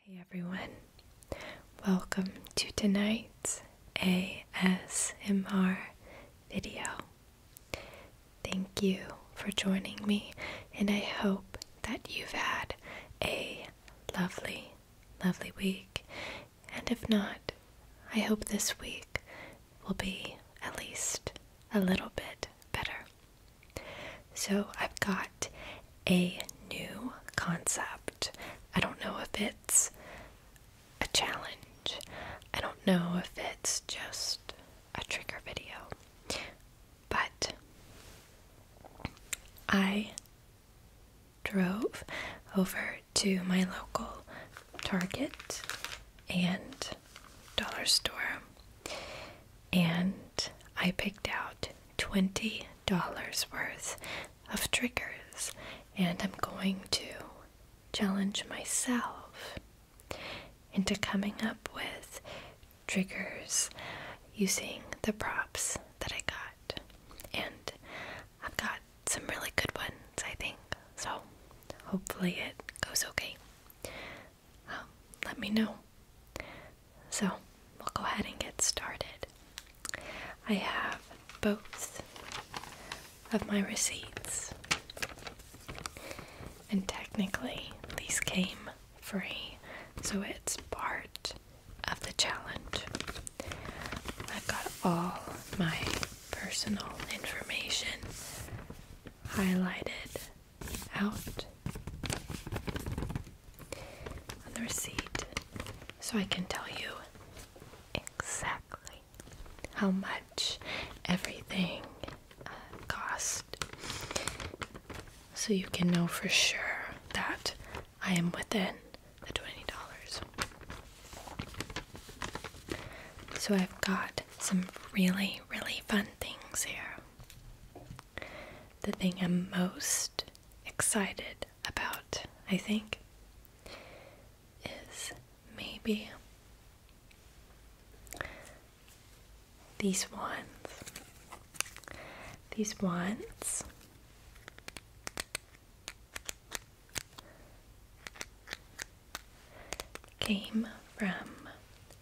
Hey everyone, welcome to tonight's ASMR video. Thank you for joining me, and I hope that you've had a lovely, lovely week. And if not, I hope this week will be at least a little bit better. So I've got a new concept. I don't know if it's a challenge, I don't know if it's just a trigger video, but I drove over to my local Target and dollar store and I picked out $20 worth of triggers, and I'm going to challenge myself into coming up with triggers using the props that I got. And I've got some really good ones, I think. So hopefully it goes okay. Um, let me know. So we'll go ahead and get started. I have both of my receipts, and technically these came free, so it's part of the challenge. I've got all my personal information highlighted out the receipt so I can tell you exactly how much everything uh, cost. So you can know for sure that I am within the $20. So I've got some really, really fun things here the thing I'm most excited about, I think, is maybe these wands. These wands came from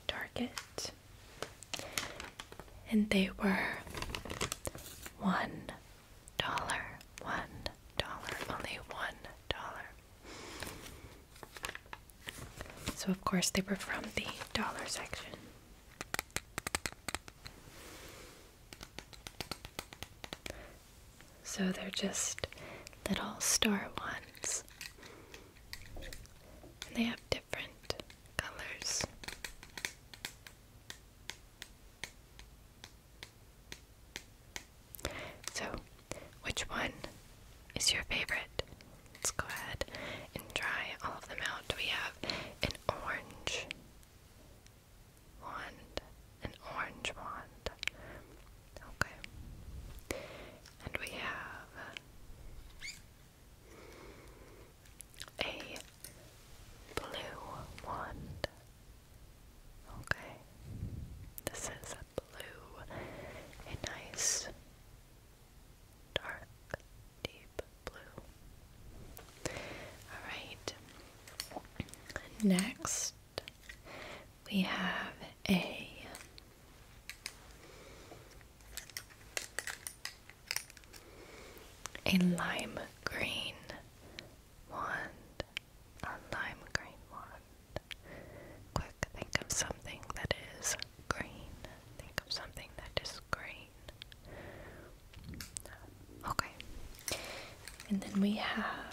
Target and they were one dollar, one dollar, only one dollar. So, of course, they were from the dollar section. So they're just little star ones. they have different different colors. So, which one is your favorite? Let's go ahead and try all of them out. We have an orange wand, an orange wand. Okay. And we have a blue wand. Okay, this is a blue, a nice, dark, deep blue. Alright, next we have a a lime green wand. A lime green wand. Quick, think of something that is green. Think of something that is green. Okay. And then we have.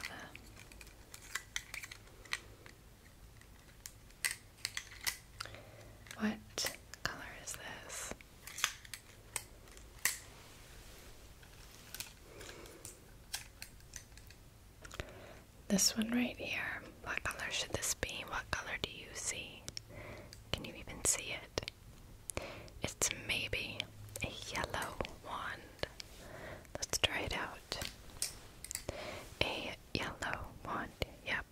What color is this? This one right here. What color should this be? What color do you see? Can you even see it? It's maybe a yellow wand. Let's try it out. A yellow wand. Yep.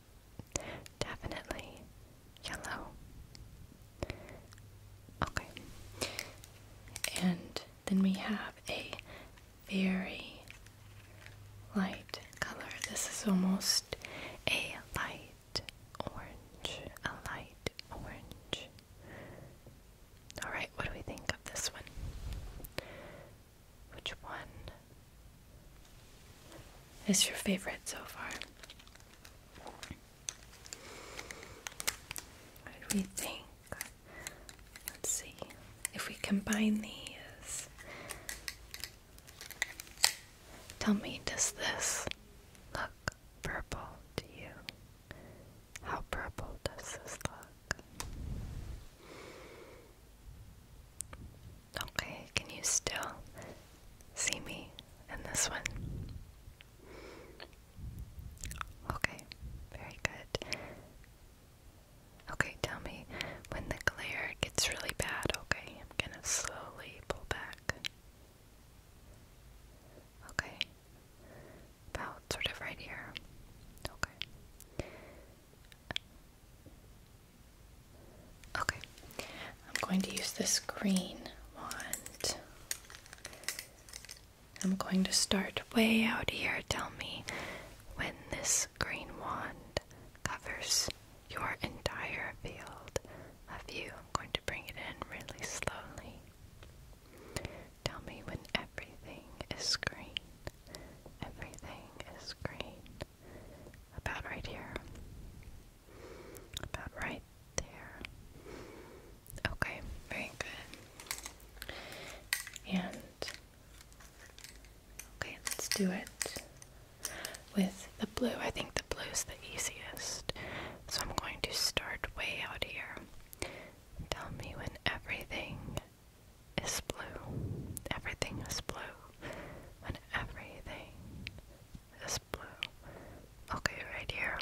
Definitely yellow. Okay. And then we have a very light color. This is almost a light orange. A light orange. Alright, what do we think of this one? Which one is your favorite so far? What did Let's see if we combine these. Tell me, does this look purple to you? How purple does this look? Okay, can you still see me in this one? Okay, very good. Okay, tell me when the glare gets really bad, okay? I'm gonna slowly pull back. Okay. About sort of right here. Okay. Okay, I'm going to use this green wand. I'm going to start way out here. Tell me when this green wand covers your entire field of view. I'm going to bring it in really slowly. Tell me when everything is green. Everything is green. About right here. About right there. Okay, very good. And okay, let's do it with the blue. I think the blue is the easiest. So I'm going to start way out here. Tell me when everything is blue. Everything is blue. When everything is blue. Okay, right here.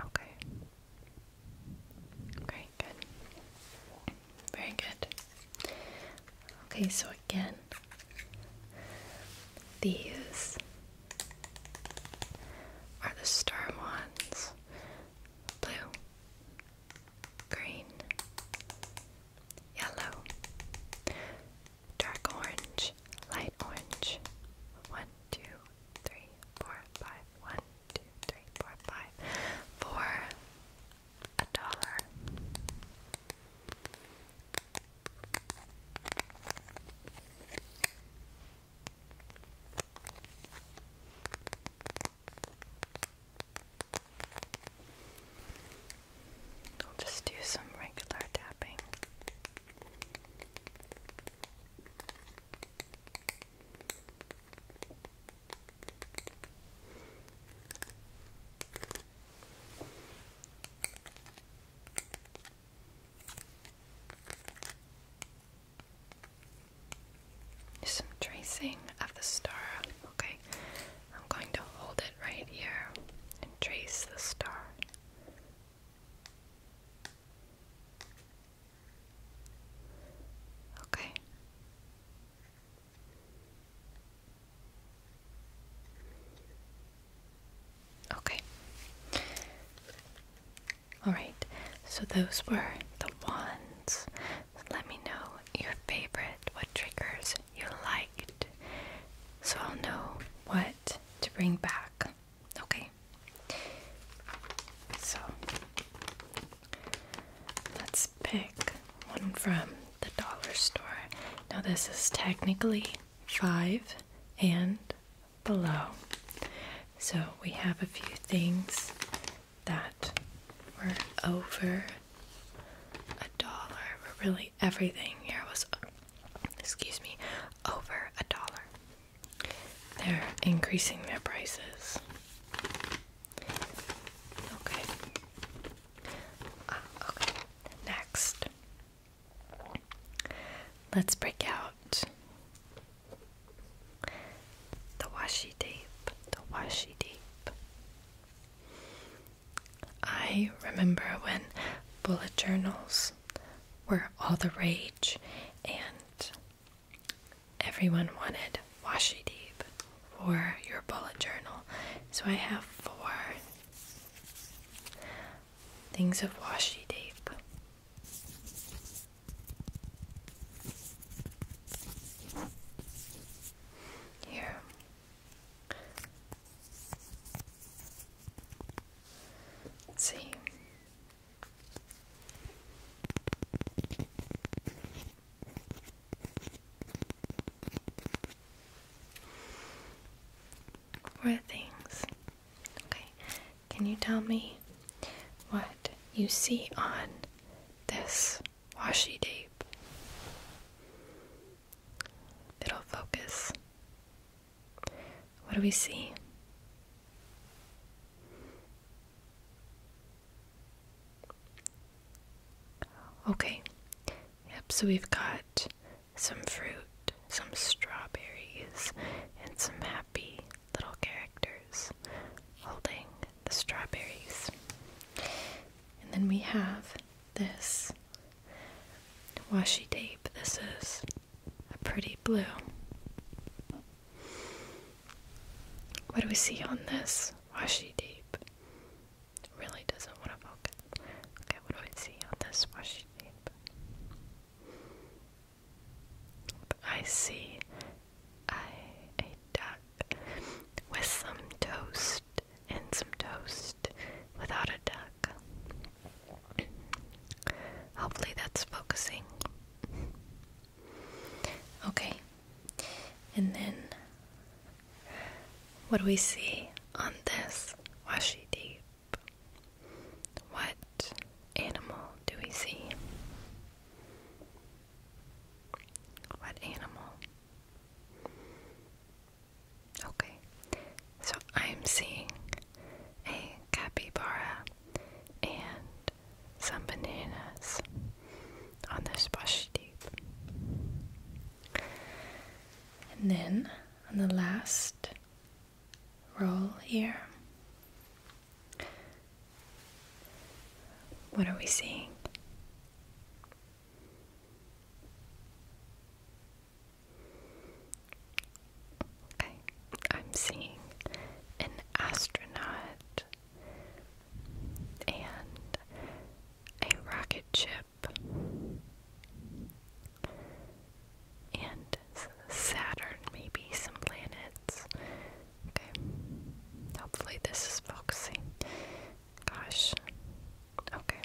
Okay. Very good. Very good. Okay, so again, these are the storm ones blue, green, yellow, dark orange, light orange. One, two, three, four, five. One, two, three, four, five. For a dollar. I'll just do some regular tapping. Some tracing of the star. Okay, I'm going to hold it right here and trace the star Okay. Okay. All right. So those were the ones. Let me know your favorite, what triggers you liked, so I'll know what to bring back. Okay. So let's pick one from the dollar store. Now, this is technically five and below. So we have a few things that were over a dollar, really everything here was excuse me, over a dollar. They're increasing their prices. Okay. Ah, okay. Next, let's break out the washi tape. The washi tape. I remember when bullet journals were all the rage, and everyone wanted washi tape for your bullet journal. So I have four things of washi tape. Here. Let's see. what things. Okay, can you tell me what you see on this washi tape? It'll focus what do we see? Okay. Yep, so we've got some fruit, some strawberries, and some happy little characters holding the strawberries. And then we have this washi tape. This is a pretty blue. What do we see on this? washy deep? Really doesn't want to focus. Okay, what do we see on this washi tape? I see a duck with some toast and some toast without a duck. Hopefully, that's focusing. Okay, and then what do we see on this washi deep? What animal do we see? What animal? Okay, so I'm seeing a capybara and some bananas on this brush deep. And then on the last roll here, what are we seeing? I'm seeing an astronaut and a rocket ship and Saturn, maybe some planets. Okay, hopefully this is focusing. Gosh, okay.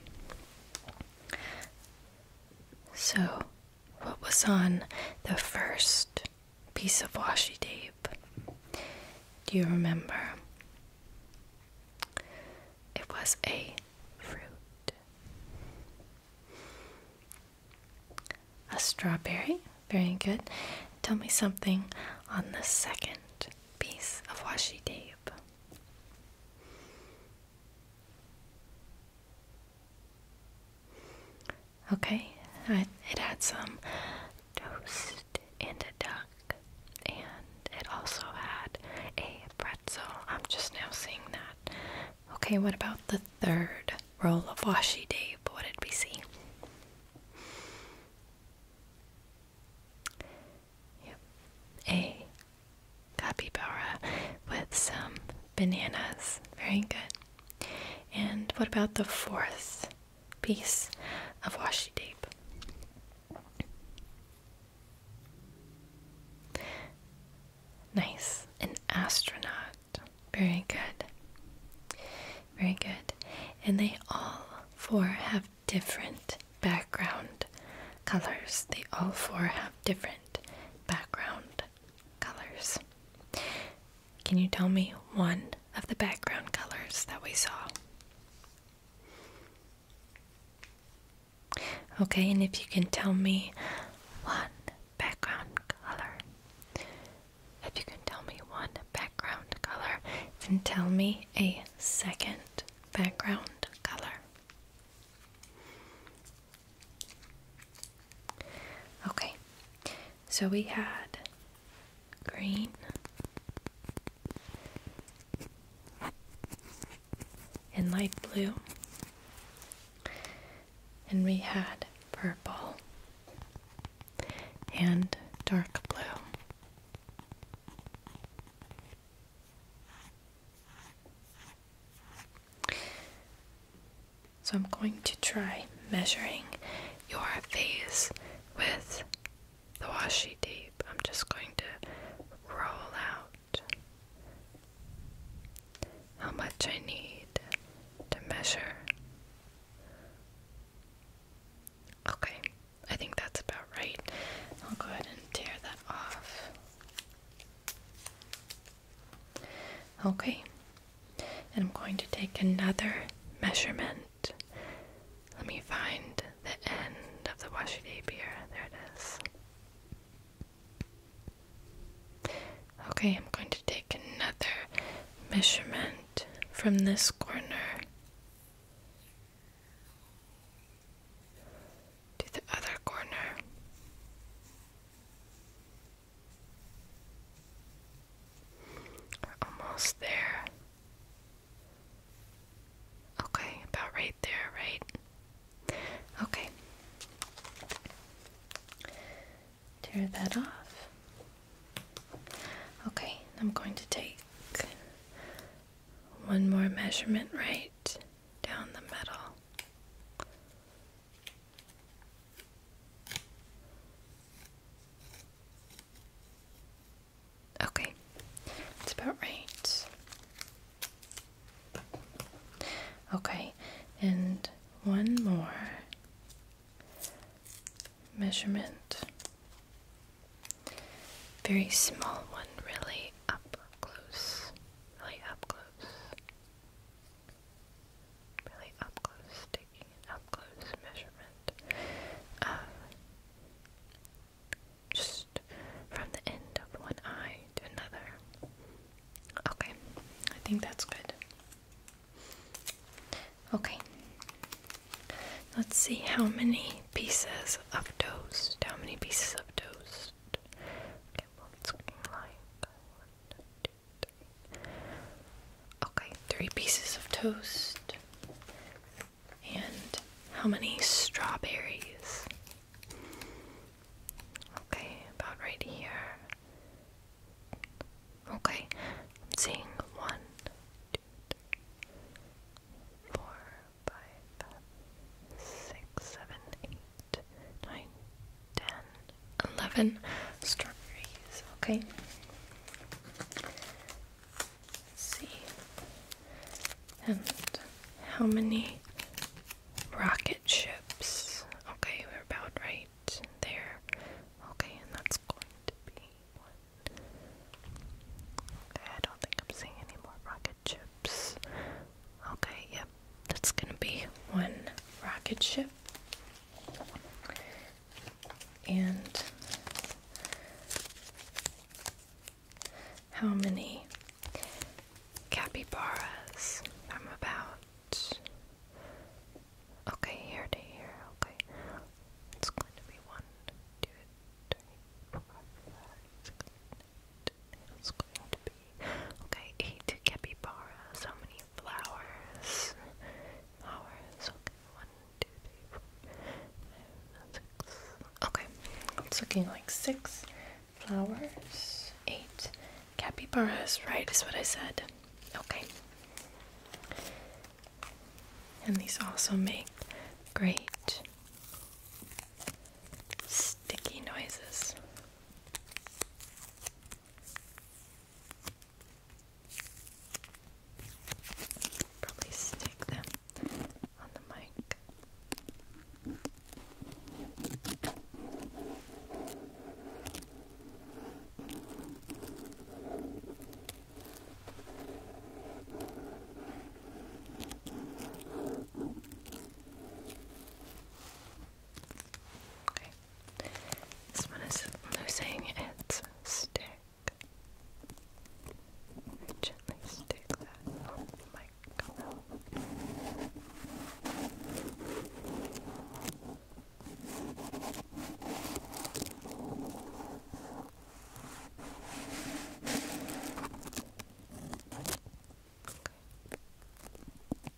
So, what was on the first piece of washi tape? Do you remember? It was a fruit. A strawberry. Very good. Tell me something on the second piece of washi tape. Okay, it had some toast and a duck, and it also had a pretzel. I'm just now seeing that. Okay, what about the third roll of washi tape? What did we see? Yep, a capybara with some bananas. Very good. And what about the fourth piece of washi tape? Nice. An astronaut. Very good. Very good. And they all four have different background colors. They all four have different background colors. Can you tell me one of the background colors that we saw? Okay, and if you can tell me one background color, if you can tell me one background color, then tell me a second background color. Okay, so we had green, and light blue, and we had purple and dark blue. So I'm going to try measuring your face with the washi tape. I'm just going to roll out how much I need to measure. Okay, I think that's about right. I'll go ahead and tear that off. Okay, and I'm going to take another measurement. Let me find the end of the washi tape here. There it is. Okay, I'm going to take another measurement from this corner to the other corner. We're almost there. Okay, about right there, right? Okay. Tear that off. Okay, I'm going to take one more measurement right down the middle. Okay, that's about right. Okay, and one more measurement. Very small one, really up close. Really up close really up close, taking an up close measurement just from the end of one eye to another. Okay, I think that's good. Okay, let's see how many pieces of toast. How many pieces of toast? Okay, three pieces of toast. And how many strawberries? Okay, about right here. Okay, seeing one, two, three, four, five, six, seven, eight, nine, ten, eleven strawberries. Okay. Let's see. And how many rocket ships? Okay, we're about right there. Okay, and that's going to be one. I don't think I'm seeing any more rocket ships. Okay, yep, that's gonna be one rocket ship and how many capybaras I'm about. Okay, here to here. Okay, it's going to be one, two, three, four, five, six. It's going to Okay, eight capybara. So many flowers. Flowers. Okay, it's looking like six flowers. Eight capybaras. Right, is what I said. Okay. And these also make great sticky noises. Probably stick them on the mic. Okay. This one is losing its stick. gently stick that on the microphone. Okay,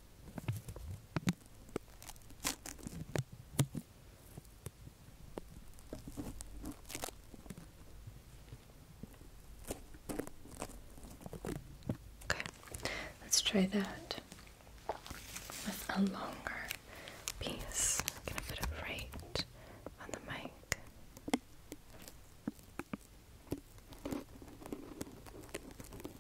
let's try that with a longer piece. I'm gonna put it right on the mic.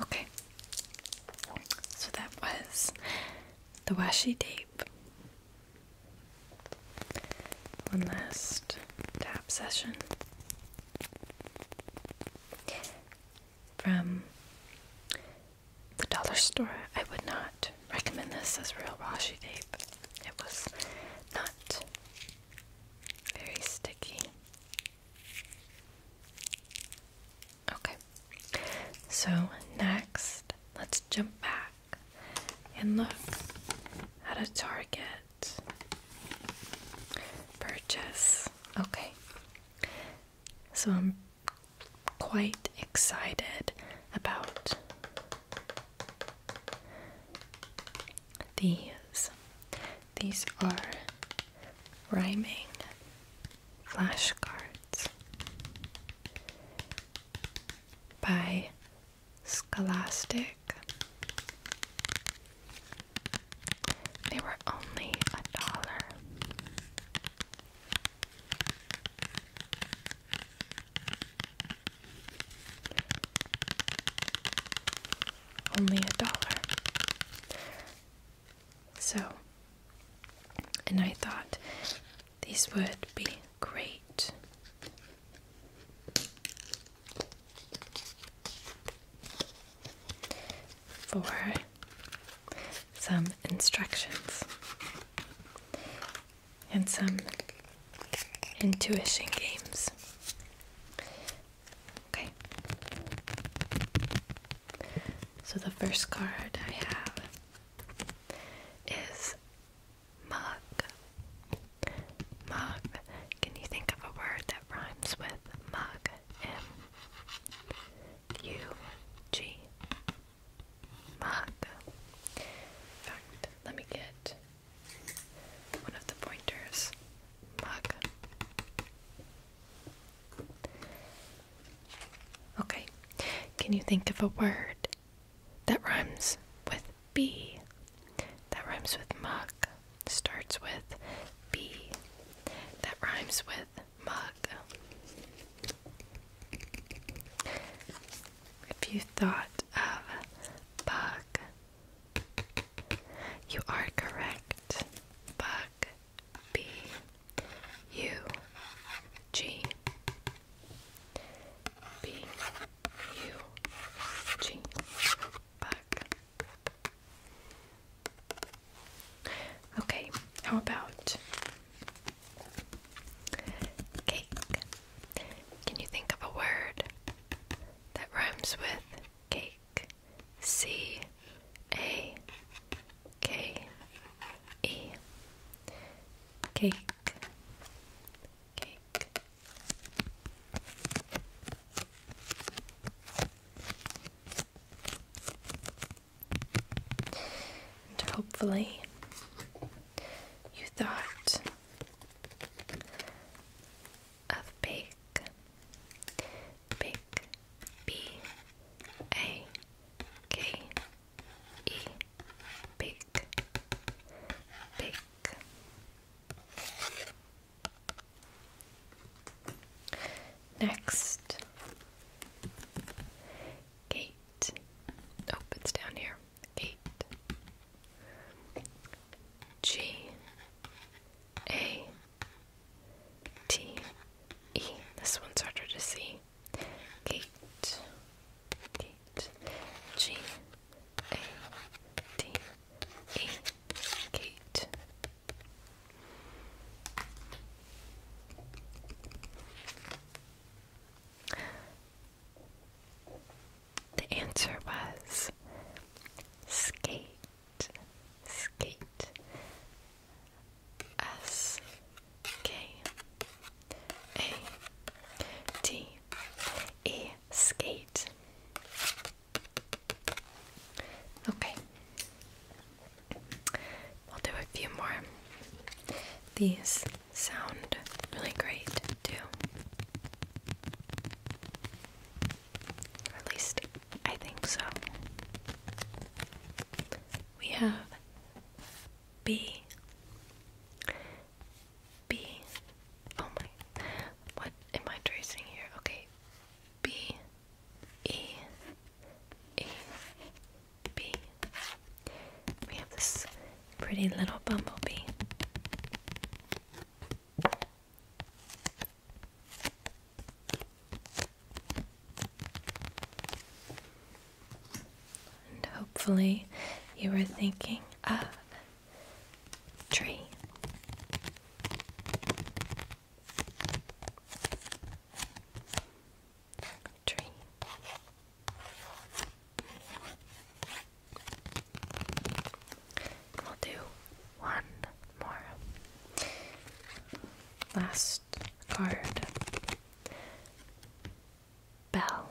Okay, so that was the washi tape one last tap session from the dollar store. I would not recommend this as real washi tape. It was not very sticky. Okay, so next let's jump back and look at a Target purchase. Okay, so I'm quite excited about these. These are rhyming flashcards by Scholastic. They were only a dollar. Only a dollar. So, and I thought this would be great. For some instructions and some intuition games. Okay. So the first card I have is Mug. Mug. Can you think of a word that rhymes with mug? M U G. Mug. fact, let me get one of the pointers. Mug. Okay. Can you think of a word that rhymes with B, that rhymes with mug, starts with B, that rhymes with mug. If you thought of bug, you are correct. Bug, B, U, G. B U G Okay, how about cake? Can you think of a word that rhymes with cake? C A K E Cake hopefully, you thought of bake, bake, B A K E big big Next gate. Oh, it's down here. Gate. G A T E. This one's harder to see. Gate, gate, G A T E, gate. The answer was skate, skate, S K a T E skate. Okay. We'll do a few more. These sound really great too. at least I think so. We have B B. Oh my. What am I tracing here? Okay. B. E. E. B. We have this pretty little bumblebee. And hopefully, you were thinking of tree. Tree. We'll do one more. Last card bell,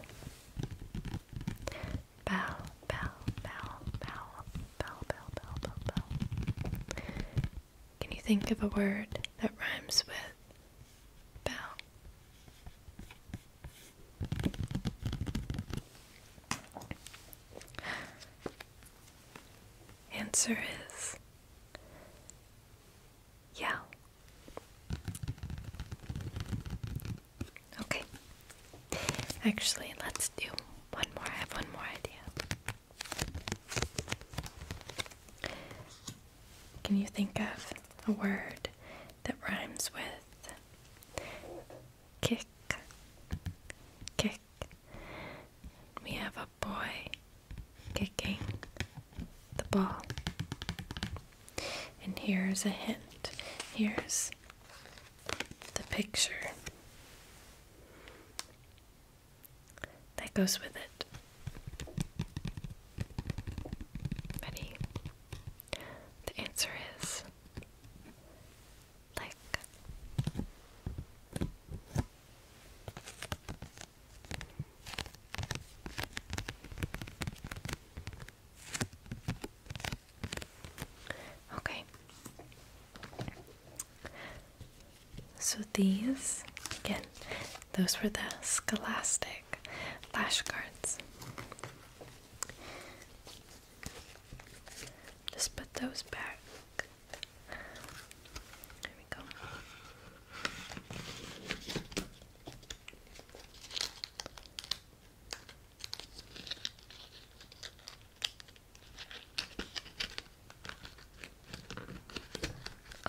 bell, bell, bell, bell, bell, bell, bell, bell, Can you think of a word that rhymes with bell? Answer is yell. Okay. Actually, let's do one more. I have one more idea. Can you think of a word that rhymes with kick? Kick. We have a boy kicking the ball. And here's a hint. Here's the picture that goes with it. Ready? The answer is like. Okay. So these, again, those were the Scholastic flash cards. Just put those back. There we go.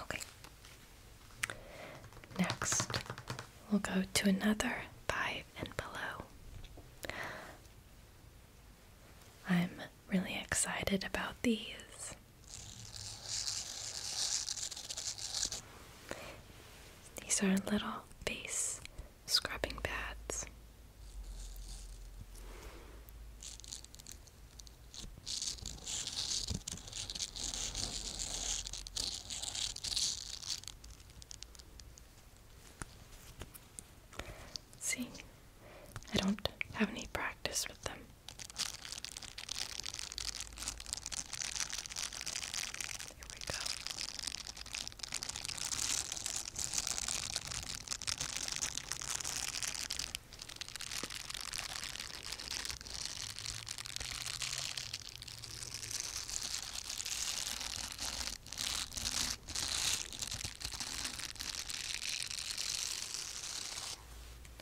Okay. Next, we'll go to another five and below. I'm really excited about these. These are little face scrubbing pads. See, I don't have any practice with them. Here we go.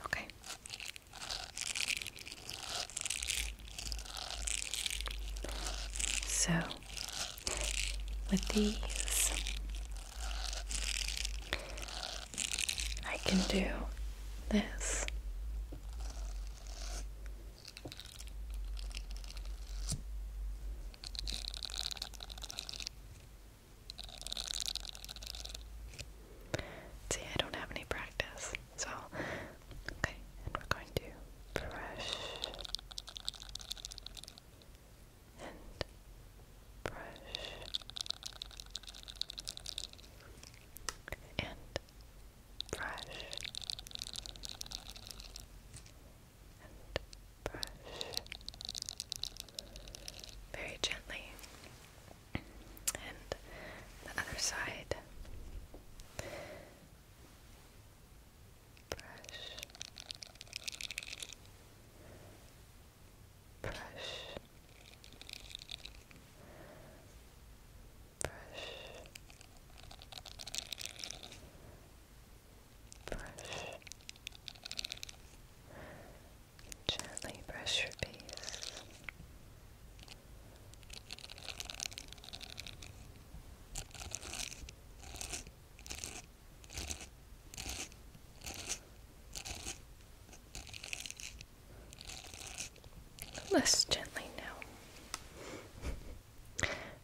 Okay. So, with these, I can do this. See, I don't have any practice. So, okay, and we're going to brush and brush and brush and brush very gently. And the other side brush, brush, brush, brush. Gently brush your face. Less gently now.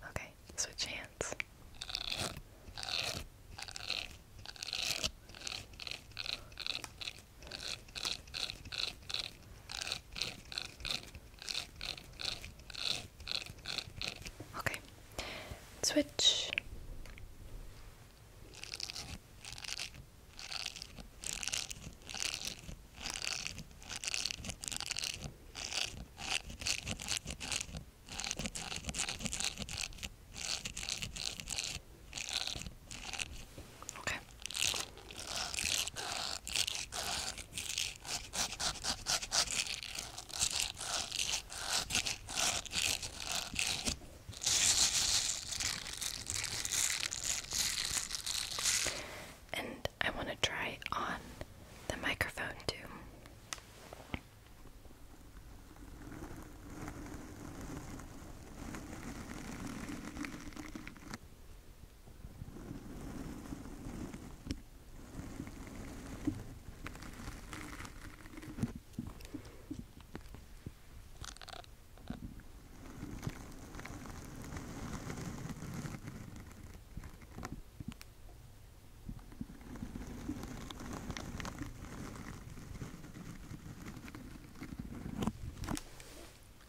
okay, switch hands. Okay. Switch. Okay. And I want to try on the microphone too.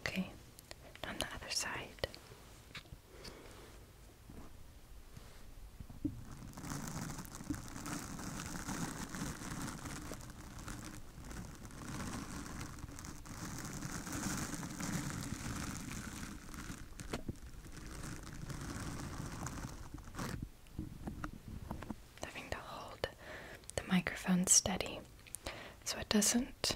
Okay, on the other side. Having to hold the microphone steady so it doesn't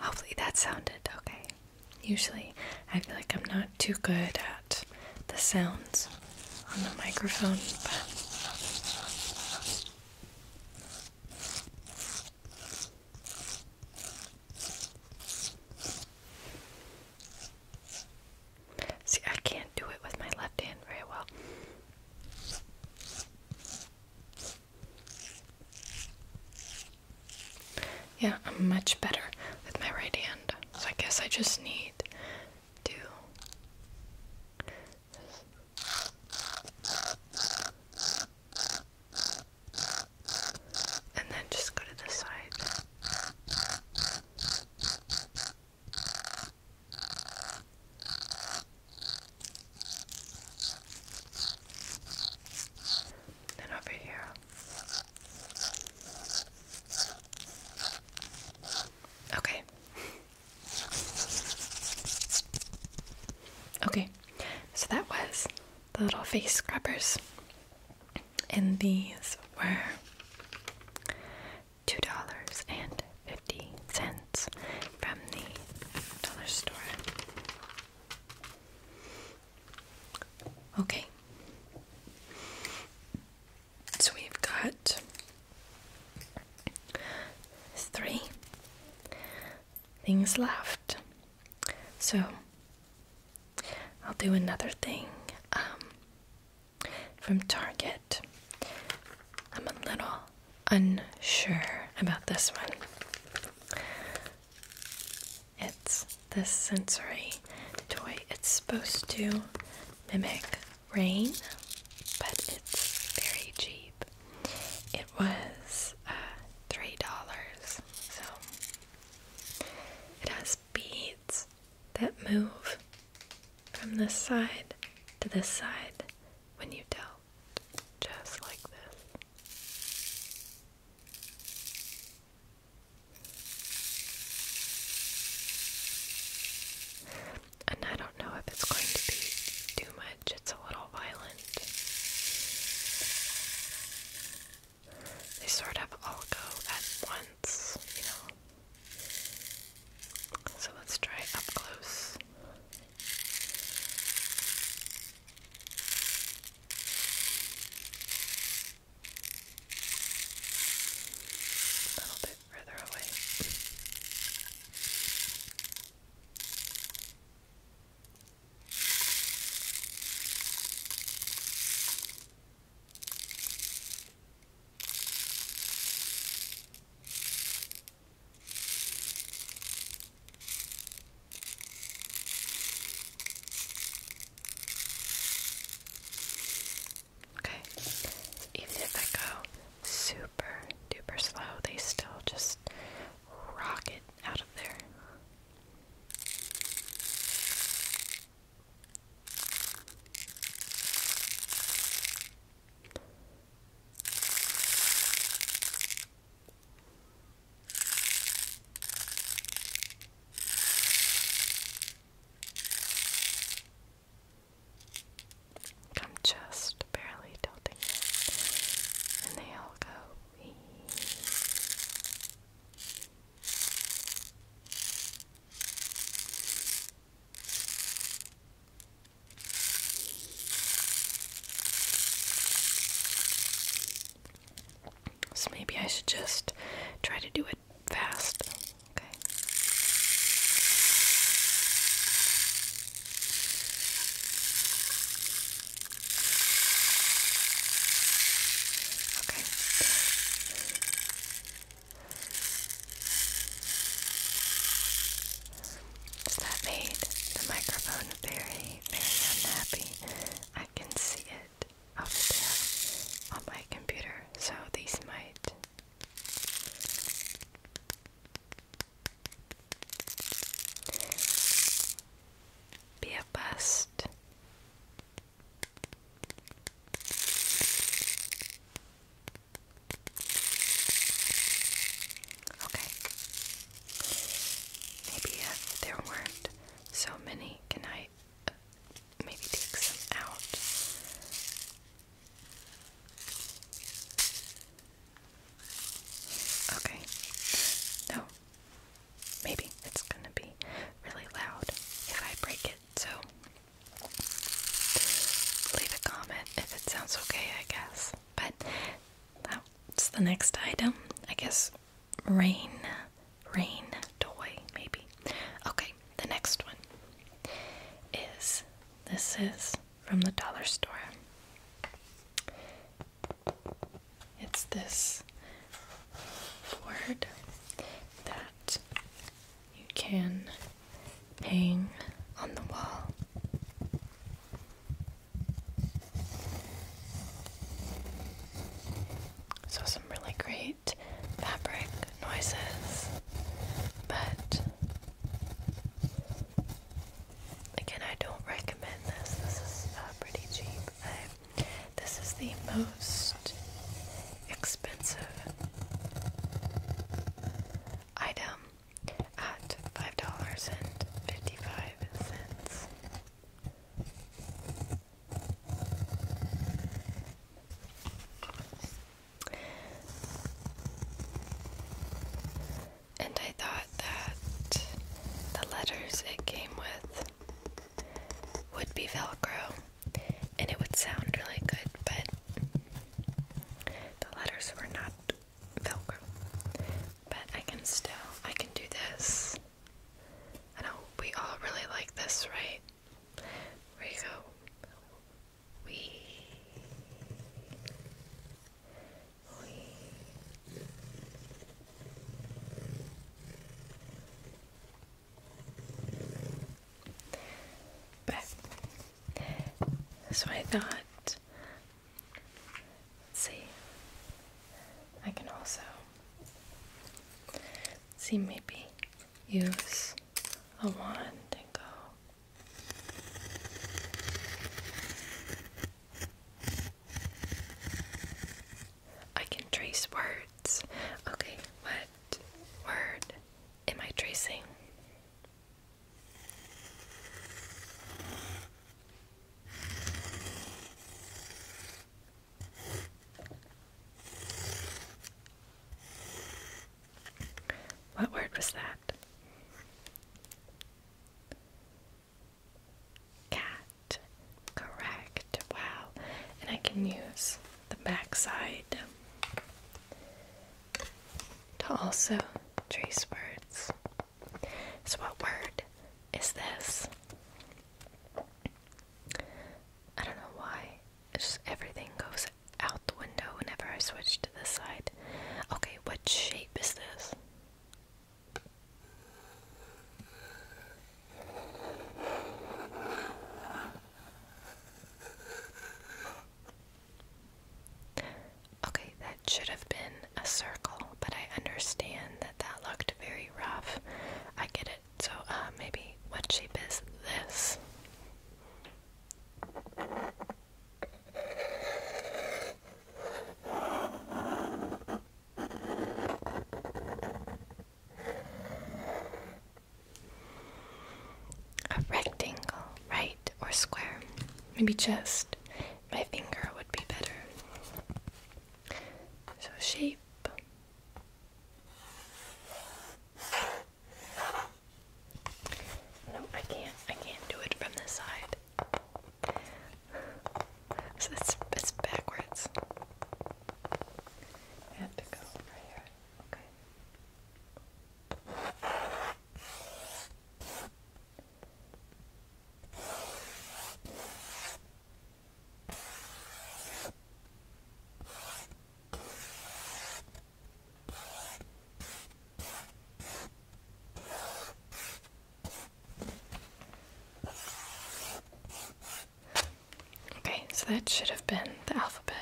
Hopefully that sounded okay. Usually I feel like I'm not too good at the sounds on the microphone, See, I can't do it with my left hand very well. Yeah, I'm much better with my right hand. So I guess I just need to and then just go to the side. And over here. Okay. Okay, so that was the little face scrubbers. And these were $2.50 from the dollar store. Okay. So we've got three things left. So I'll do another thing um, from Target. I'm a little unsure about this one. It's this sensory toy. It's supposed to mimic rain, but it's very cheap. It was uh, $3, so it has beads that move from this side to this side when you tilt, just like this. And I don't know if it's going to be too much, it's a little violent. They sort of all go at once, you know. So let's try up close. A little bit further away. Okay, even if I go super duper slow, they still just rock it out of there. I'm just barely tilting it, and they all go. So maybe I should just try to do it fast. Okay. Okay. that made the microphone very, very unhappy. I can see it of it on my computer, so these might. Be a bust. Okay. Maybe uh, there weren't so many, can I maybe take some out. Okay. No. Maybe it's gonna be really loud if I break it, so leave a comment if it sounds okay, I guess. But that's the next item. I guess rain, rain toy, maybe. Okay, the next one is this is from the dollar store. It's this word that you can hang on the wall. So, some really great fabric noises, but again, I don't recommend this. This is uh, pretty cheap. this is the most expensive item at $5.55. And I thought that the letters it came with would be Velcro and it would sound really good, but the letters were not Velcro. But I can still, I can do this I know we all really like this, right? Where We. We. So I thought, let's see, I can also See, maybe use a wand and go. I can trace words. Okay, what word am I tracing? What word was that? Cat. Correct. Wow. And I can use the back side to also trace words. So, what word is this? I don't know why. It's just everything goes out the window whenever I switch to this side. Okay, what shape is this? Okay, that should have been a circle, but I understand that that looked very rough. I get it. So uh, maybe what shape is this? A rectangle, right, or square? Maybe just my finger would be better. So, shape no, I can't. I can't do it from this side. it's it's backwards. Okay, so that should have been the alphabet.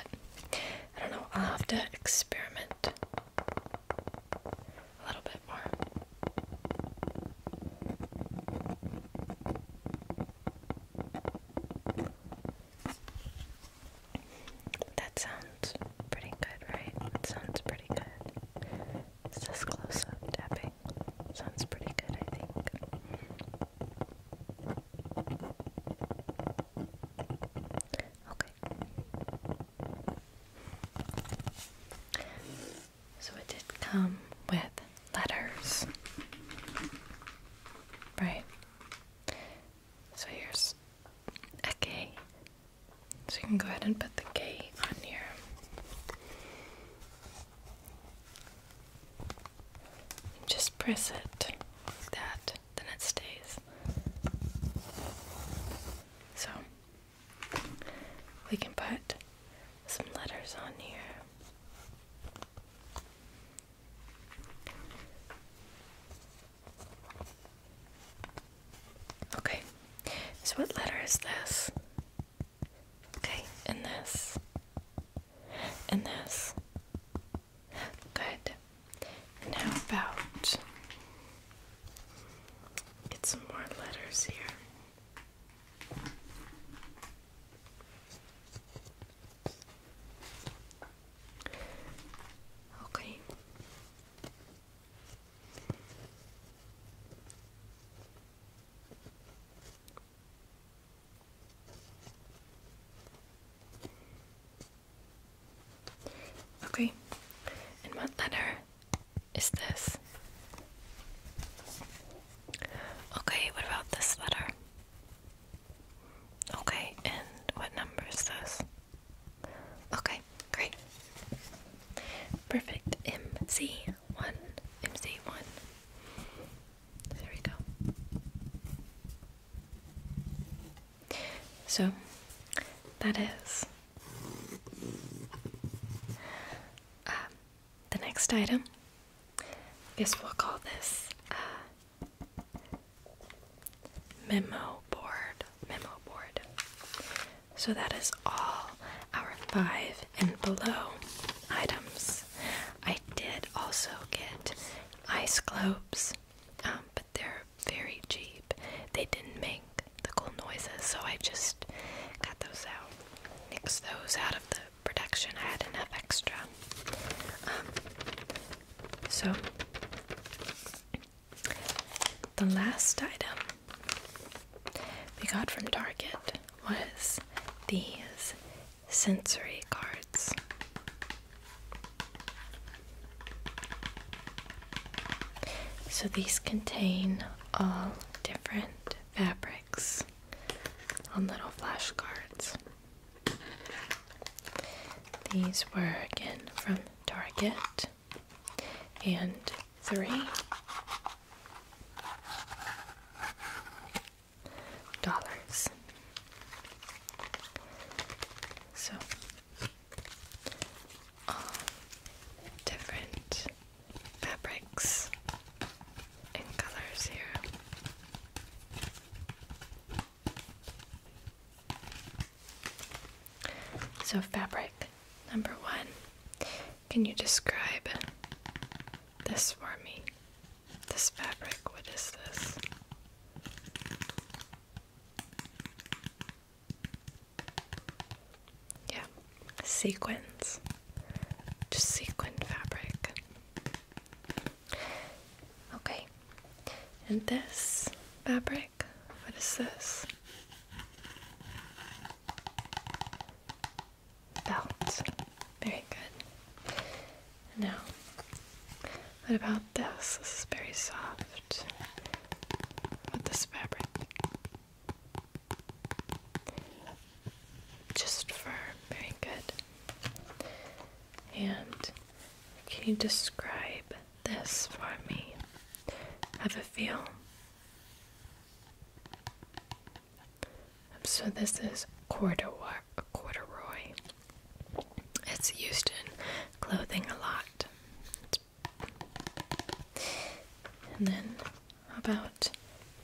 I don't know, I'll have to experiment a little bit more. That sounds pretty good, right? That sounds pretty good. It's just close up tapping. Sounds pretty good, I think. Okay. So it did come with letters. Right? So here's a K. So you can go ahead and put the K on here. just press it like that, then it stays. So we can put some letters on here. Okay, so what letter is this? Okay, and this. And this. Good. And how about get some more letters here? Okay. Okay. And what letter is this? Okay, what about this letter? Okay, and what number is this? Okay, great. Perfect. MC1. MC1. There we go. So, that is. Uh, the next item. I guess we'll call this memo board. Memo board. So that is all our five and below items. I did also get ice globes, um, but they're very cheap. They didn't make the cool noises, so I just got those out, nix those out of the Protection. I had enough extra. Um, so, the last item we got from Target was these sensory cards. So, these contain all different fabrics on little flashcards. These were again from Target and three dollars. So all different fabrics and colors here. So, fabric number one. Can you describe this for me? This fabric, what is this? Yeah, sequins. Just sequin fabric. Okay, and this fabric, what is this? Belt. Very good. Now, what about this? This is very soft. With this fabric just fur. Very good. And can you describe this for me? Have a feel. So this is corduroy. It's used in clothing a lot. And then, about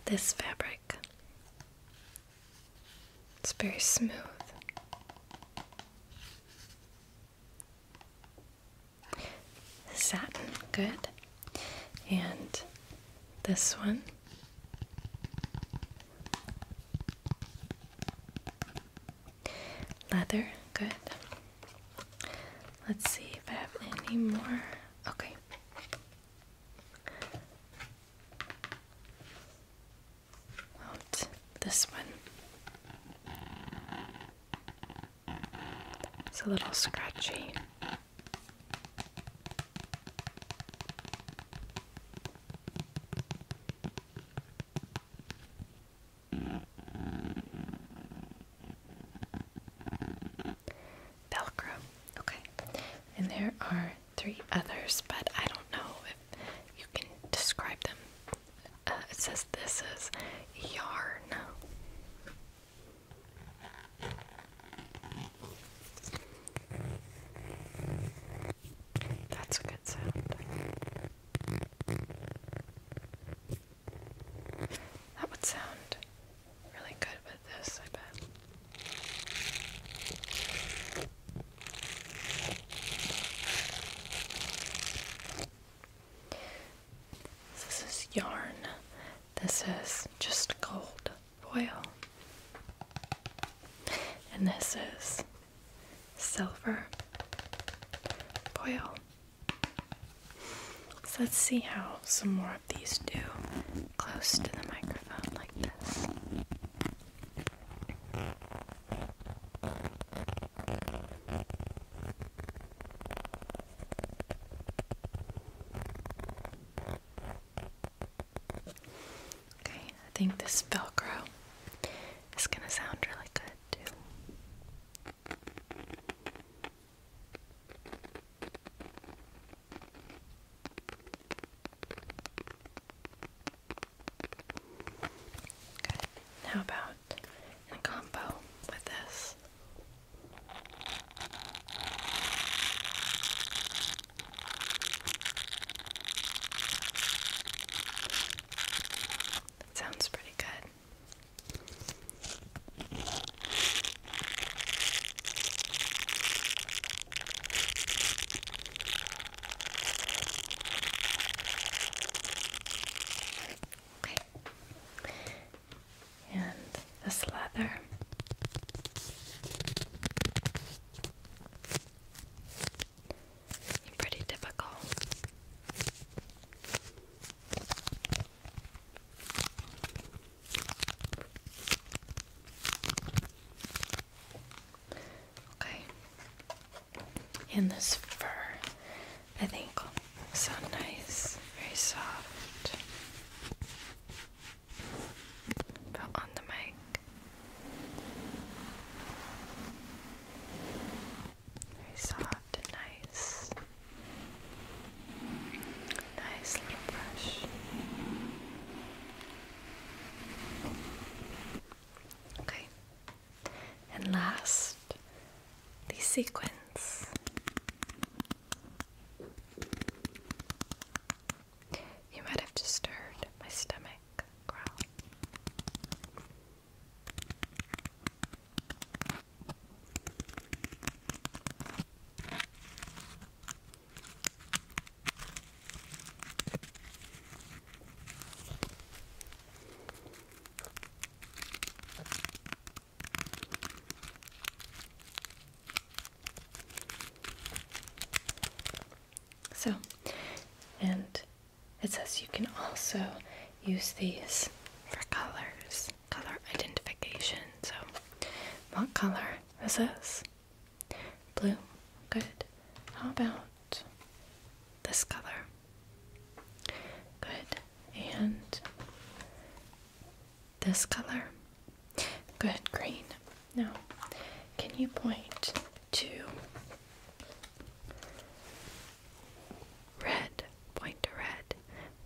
this fabric? It's very smooth. Satin, good. And this one. Leather, good. Let's see if I have any more. Okay this one? It's a little scratchy. Velcro. Okay. And there are three others, but I don't know if you can describe them. Uh, it says this is yarn. That's a good sound. That would sound really good with this, I bet. This is yarn. This is just gold foil. And this is silver foil. So let's see how some more of these do close to the microphone like this. Okay, I think this Velcro is going to sound really good too. Good. How about in combo with this? That sounds pretty good. And this leather. Pretty typical. Okay. And this fur, I think, so nice, very soft. But on the mic. Very soft and nice. Nice little brush. Okay. And last, the sequence. You might have just heard my stomach growl. So, and it says you can also use these for colors, color identification. So, what color is this? Blue. Good. How about this color? Good. And this color? Good. Green. Now, can you point to red? Point to red.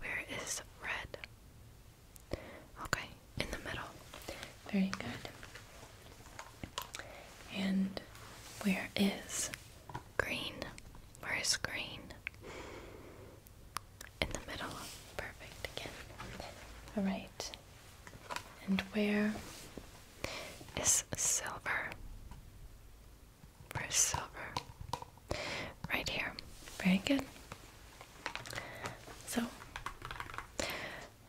Where is red? Okay, in the middle. Very good. And where is green? Where is green? In the middle. Perfect again. Alright. And where is silver? Where's silver? Right here. Very good. So,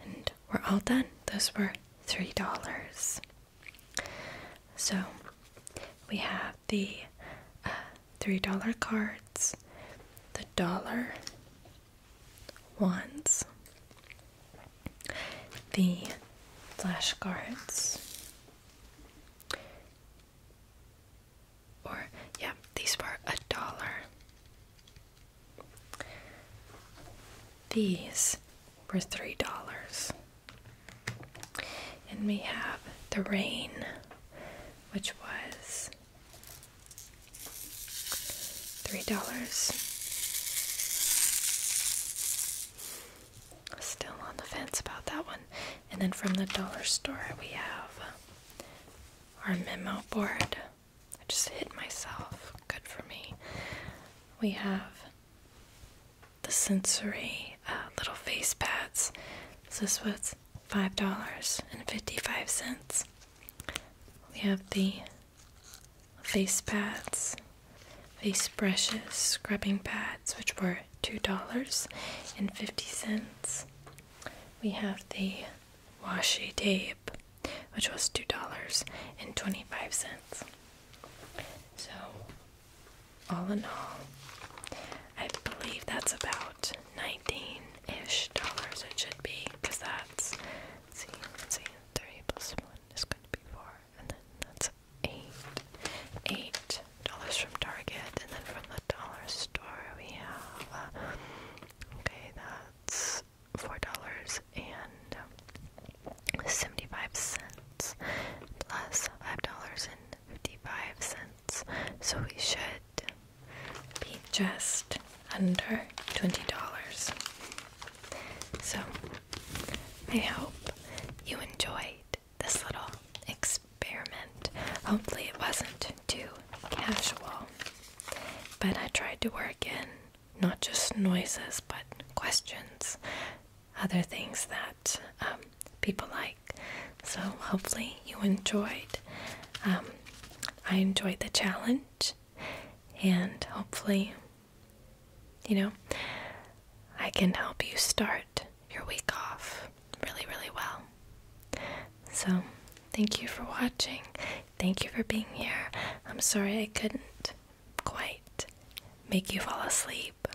and we're all done. Those were $3. So we have the uh, $3 cards, the dollar ones, the flashcards. Or, yeah, these were a dollar. These were $3. And we have the rain, which was $3. Still on the fence about that one. And then from the dollar store, we have our memo board. I just hit myself. Good for me. We have the sensory uh, little face pads. this was $5.55. We have the face pads, face brushes, scrubbing pads, which were $2.50. We have the washi tape, which was $2.25. So, all in all, I believe that's about 19 ish dollars it should be, because that's, let's see, 3 plus 1 is going to be 4, and then that's 8. $8 from Target, and then from the dollar store we have, uh, okay, that's four dollars and um, seventy-five cents plus five dollars and fifty-five cents. So we should be just under twenty dollars. So I hope you enjoyed this little experiment. Hopefully it wasn't too casual. But I tried to work in not just noises but questions, other things that um, people like. So, hopefully, you enjoyed. Um, I enjoyed the challenge, and hopefully, you know, I can help you start your week off really, really well. So, thank you for watching. Thank you for being here. I'm sorry I couldn't quite make you fall asleep.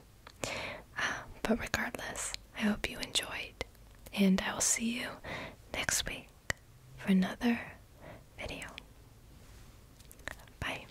Uh, but regardless, I hope you enjoyed, and I will see you next week for another video. Bye.